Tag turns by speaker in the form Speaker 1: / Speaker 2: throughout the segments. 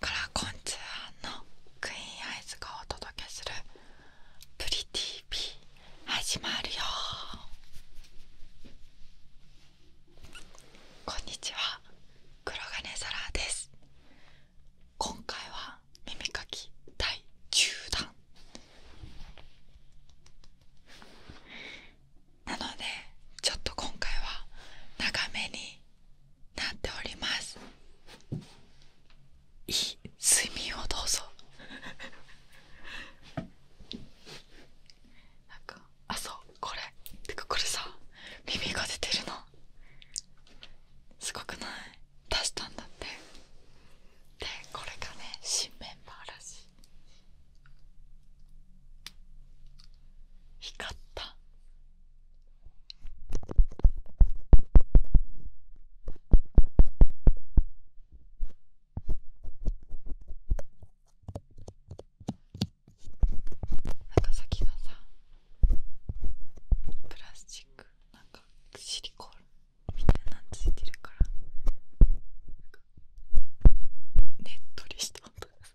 Speaker 1: カラコンツアーのクイーンアイズがお届けする「プリティ TV」始まるよこんにちは黒金ラです今回は耳かき第10弾なのでちょっと今回は長めになっておりますいい睡眠をどうぞ なんかあそうこれてかこれさ耳が出てるのすごくない出したんだってでこれがね新メンバーらしい光ったなんか先がさプラスチックなんかシリコールみたいなのついてるからなんかねっとりした音が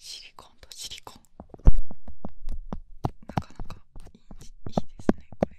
Speaker 1: シリコンとシリコンなかなかいいいいですねこれ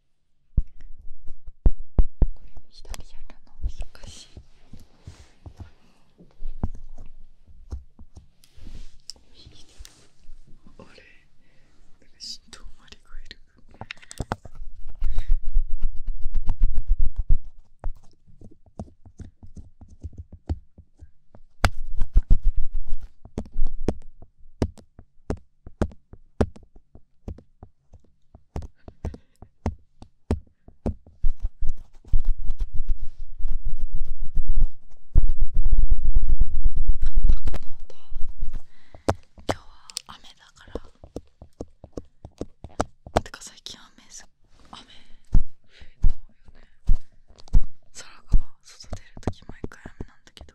Speaker 1: これ左やるの難しい。あれなんか振動まりがいる。こだこの今日は雨だからてか最近雨す雨そうよね空が外出るとき毎回雨なんだけど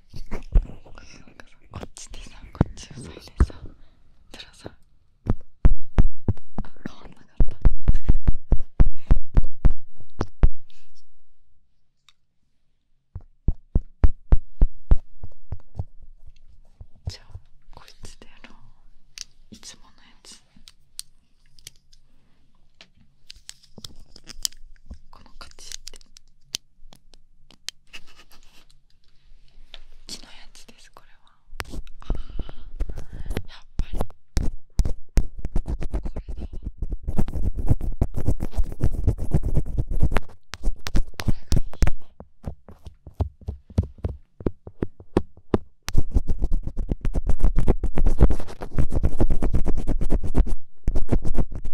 Speaker 1: こっちでさこっちをさいでさたらさあ変わんなかったじゃあこいつでやろういつものやつこの形って木のやつですこれはあやっぱりこれだこれがいいね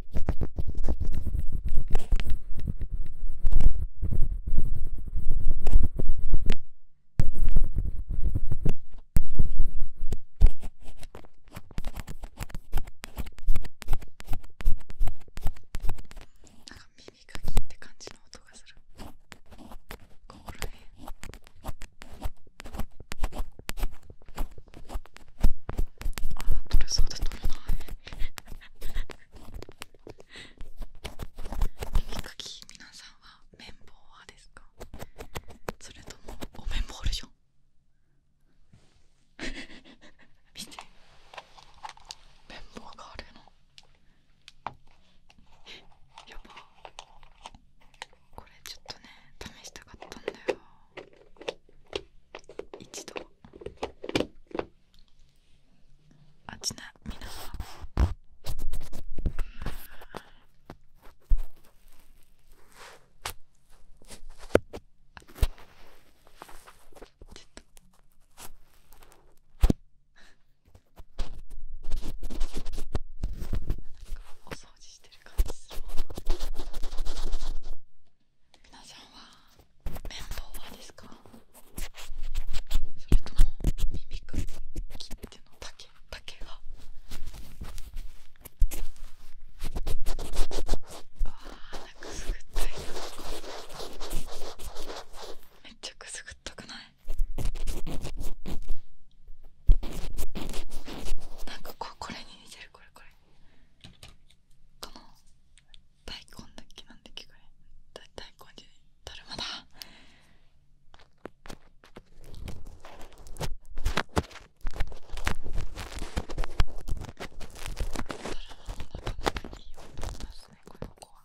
Speaker 1: なんか耳かきって感じの音がするここら辺あ取れそうで取れない耳かき皆さんは綿棒派ですかそれともお綿棒でしょ
Speaker 2: 見て綿棒があるのえやばこれちょっとね試したかったんだよ一度あちなみにお掃除してる感じする。皆さんは綿棒派ですかそれとも耳かり切っての竹竹がわあなんかくすぐったいなめっちゃくすぐったくないなんかここれに似てるこれこれかな。大根だけなんだけれ大根で、ゃいだるまだだるまもなかなかいい音がしますねこれこは。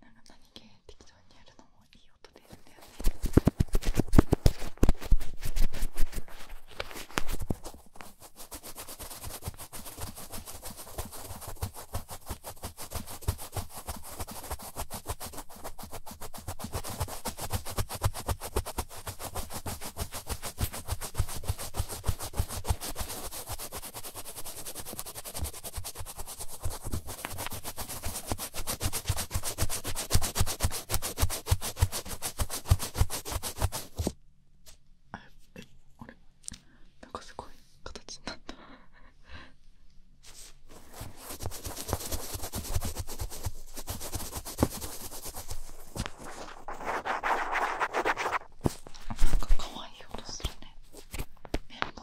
Speaker 2: 何気適当にやるのもいい音ですね。えあなんかすごい形になったなんか可愛い音するね綿棒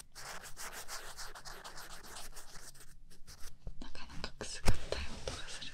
Speaker 2: なかなかくすぐったい音がする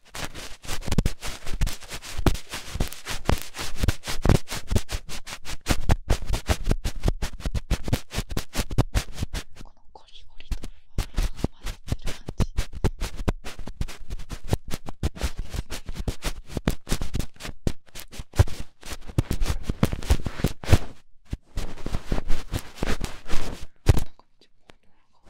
Speaker 2: このゴリゴリと混ざってる感じなんか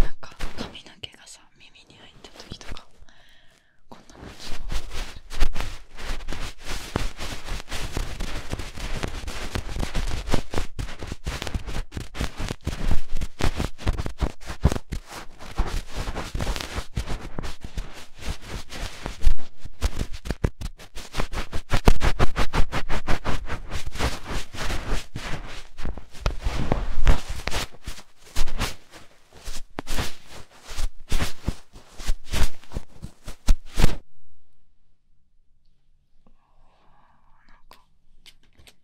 Speaker 2: なんか髪の毛がさ耳に入った時とかこんな感じの。か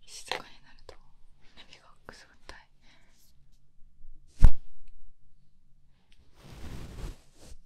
Speaker 2: 静かになると耳がくすぐったい。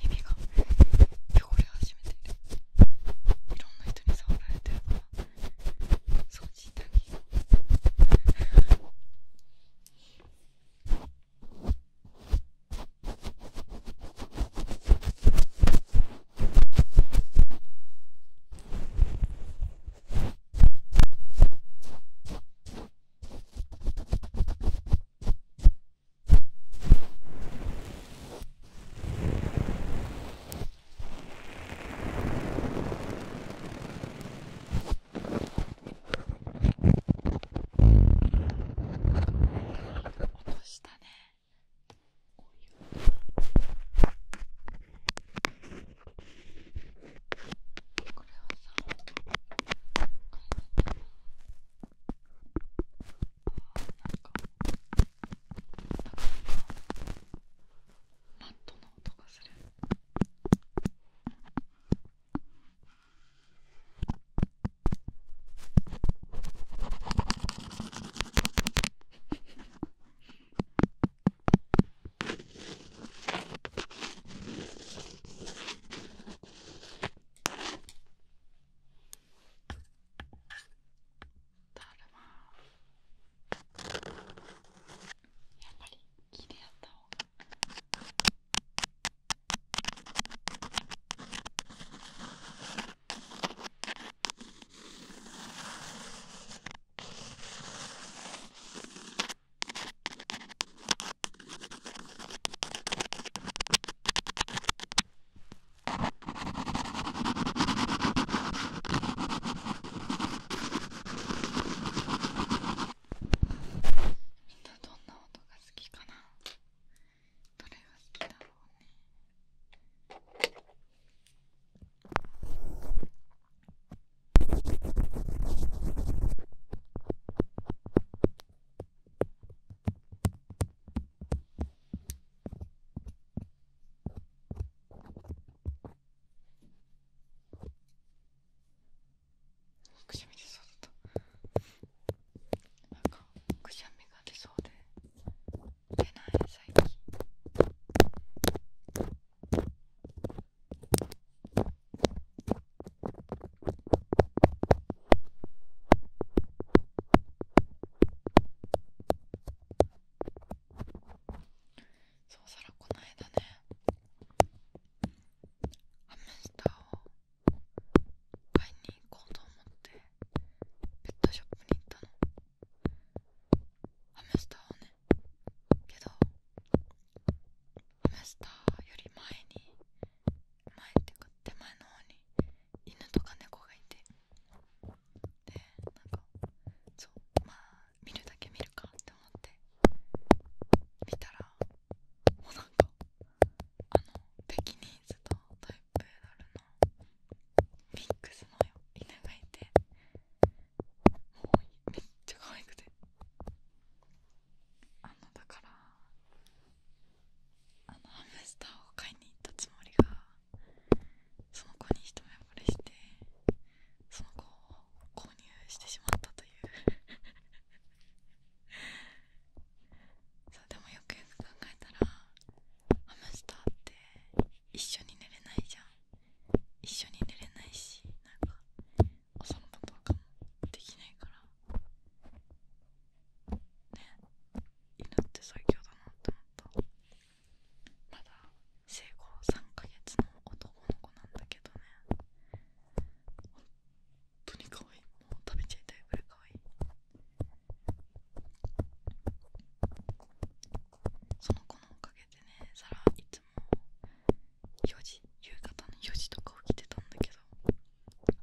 Speaker 2: 耳が汚れ始めているいろんな人に触られてるから掃除したり耳落としたねお湯これはさこれだったな。あか。マットの音がする。だるまやっぱり木でやった方がみんなどんな音が好きかなどれが好きだろうねくしゃみ出そうだったなんかくしゃみが出そうで出ない最近そうしらこの間ねハムスターを買いに行こうと思ってペットショップに行ったのハムスターをねけどハムスターより前に前っていうか手前の方に犬とか猫がいてでなんかそうまあ見るだけ見るかって思って見たらもうなんかあのペキニーズとタイプードルのミックスの犬がいてもうめっちゃ可愛くてあのだからあのハムスターを買いに行ったつもりがその子に一目惚れしてその子を購入してしまったという そうでもよくよく考えたらハムスターって一緒に寝れないじゃん一緒に寝れないしなんかお散歩とかもできないからね、犬って最強だなって思ったまだ生後3ヶ月の男の子なんだけどね本当に可愛いもう食べちゃいたいぐらい可愛いその子のおかげでねサラいつも4時夕方の4時とか起きてたんだけど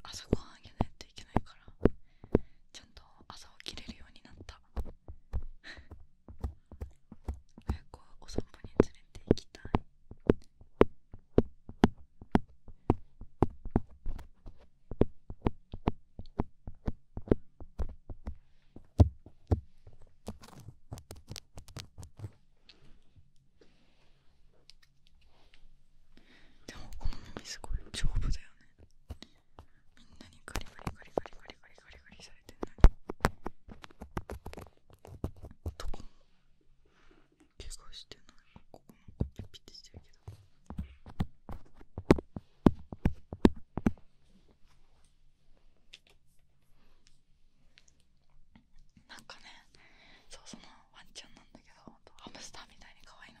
Speaker 2: あそこあげないといけないからちゃんと朝起きれるようになった 早くお散歩に連れて行きたい でもこの耳すごい丈夫だよねみんなにガリガリガリガリガリガリガリガリされてないどこも怪我してないここもピッピッてしてるけどなんかねそうそのワンちゃんなんだけどハムスターみたいに可愛いの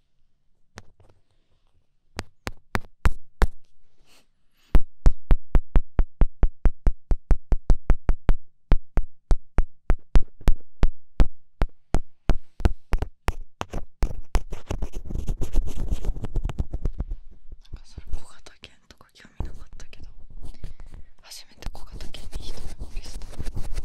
Speaker 2: なんかそれ小型犬とか興味なかったけど初めて小型犬に一目ぼれした。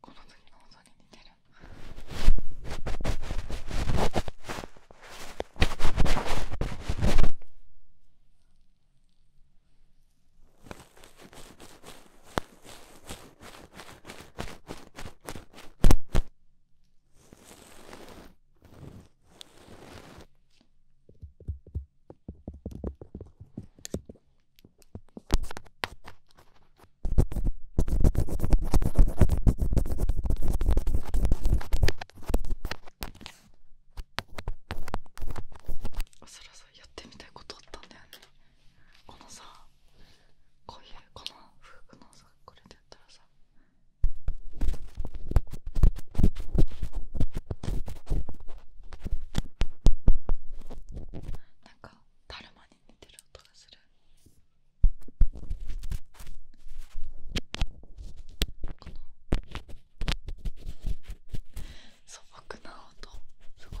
Speaker 2: この時の音に似てるそらそらやってみたいことあったんだよねこのさこういうこの服のさこれでやったらさなんかカルマに似てる音がするこの素朴な音すごい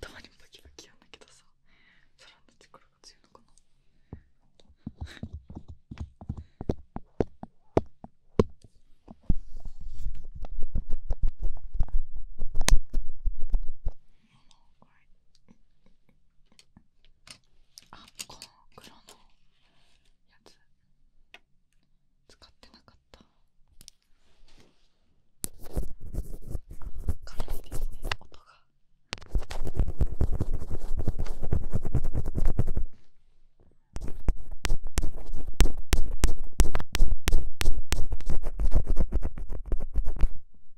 Speaker 2: たまにバキバキやんだけどささらに力が強いのかなあこの黒のやつ使ってなかった軽いですね音が。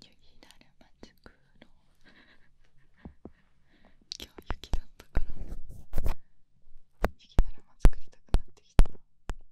Speaker 2: 雪だるま作ろう今日雪だったから雪だるま作りたくなってきた。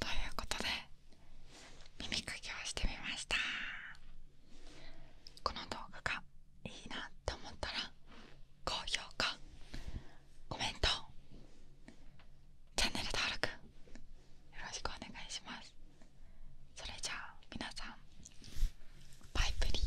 Speaker 2: ということで耳かきをしてみましたこの動画がいいなと思ったら高評価コメントチャンネル登録よろしくお願いしますそれじゃあ皆さんバイプリ。